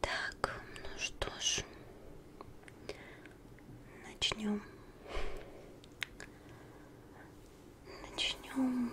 Так, ну что ж, начнем. Начнем.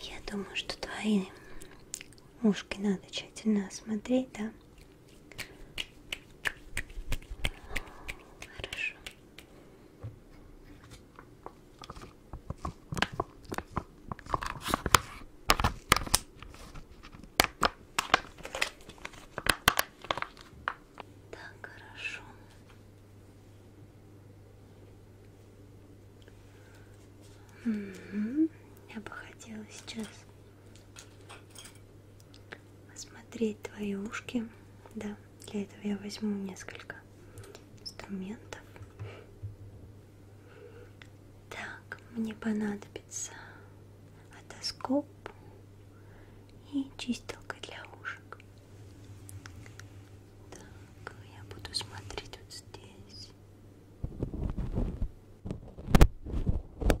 Я думаю, что твои ушки надо тщательно осмотреть, да? Хорошо. Так хорошо. Угу. Я бы хотела сейчас осмотреть твои ушки. Да, для этого я возьму несколько инструментов. Так, мне понадобится отоскоп и чистилка для ушек. Так, я буду смотреть вот здесь. Так,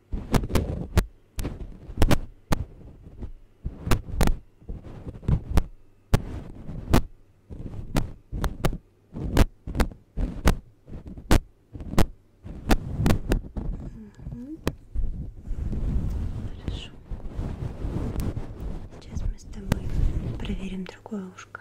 Хорошо. Сейчас мы с тобой проверим другое ушко.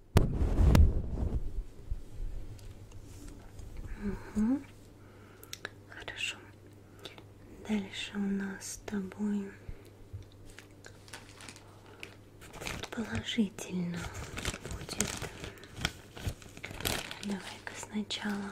Угу. Хорошо. Дальше у нас с тобой положительно будет. Давай-ка сначала.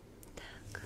Так. Так.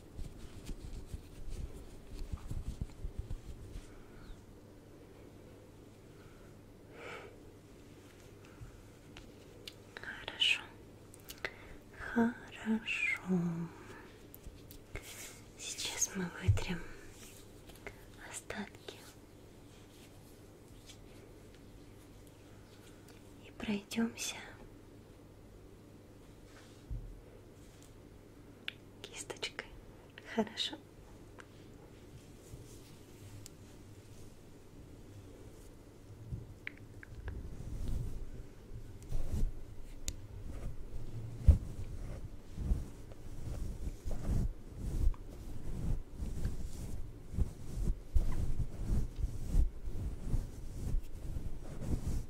Хорошо, хорошо. Сейчас мы вытрем остатки и пройдемся кисточкой. Хорошо. Хорошо.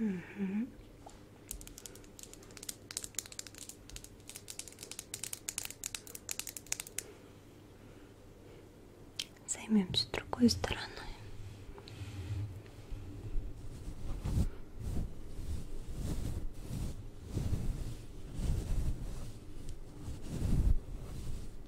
Угу. Займемся другой стороной.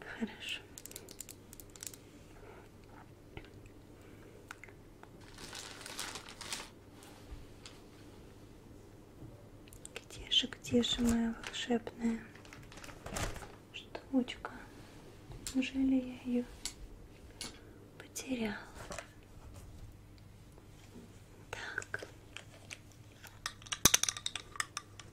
Хорошо. Где же, где же моя волшебная штучка? Неужели я ее потеряла? Так.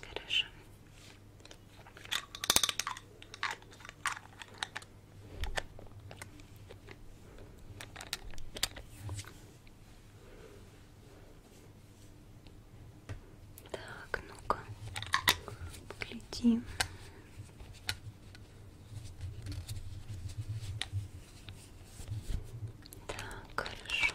Хорошо. Так, ну-ка, поглядим. Так, хорошо.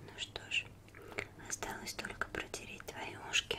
Ну что ж, осталось только протереть твои ушки.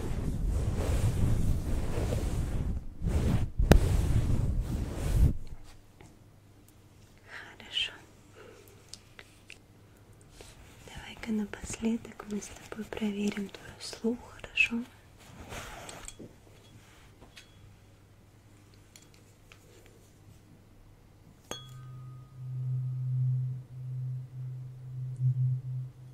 Хорошо. Давай-ка напоследок мы с тобой проверим твой слух, хорошо? Хорошо.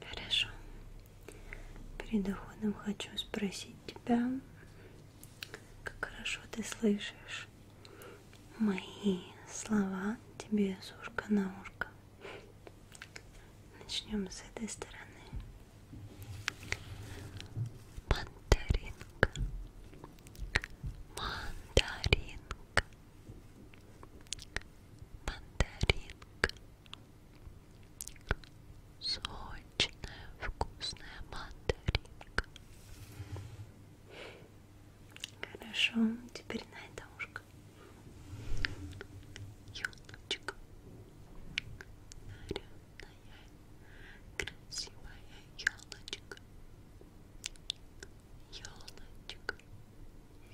Хорошо. Перед уходом хочу спросить тебя, как хорошо ты слышишь мои слова тебе с ушка на ушко. Начнем с этой стороны. Мандаринка. Мандаринка. Мандаринка. Сочная, вкусная мандаринка. Хорошо, теперь на это ушко. Елочка нарядная, красивая елочка Елочка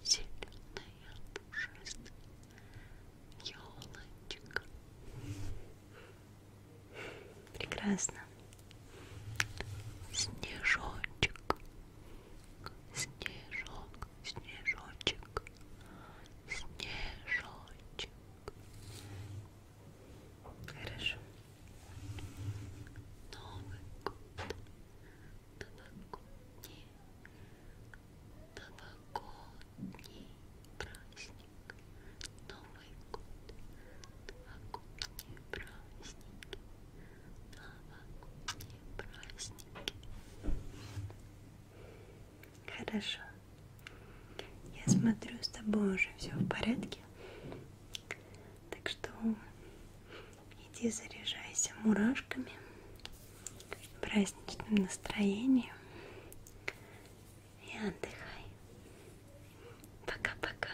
зеленая, пушистая Елочка Прекрасно Снежочек Снежок снежочек, снежочек. Хорошо. Новый год, новогодний, новогодний праздник, Новый год, новогодние праздники новогодние праздники. Хорошо. Я смотрю, с тобой уже все в порядке. Так что иди заряжайся мурашками, праздничным настроением и отдыхай. Пока-пока.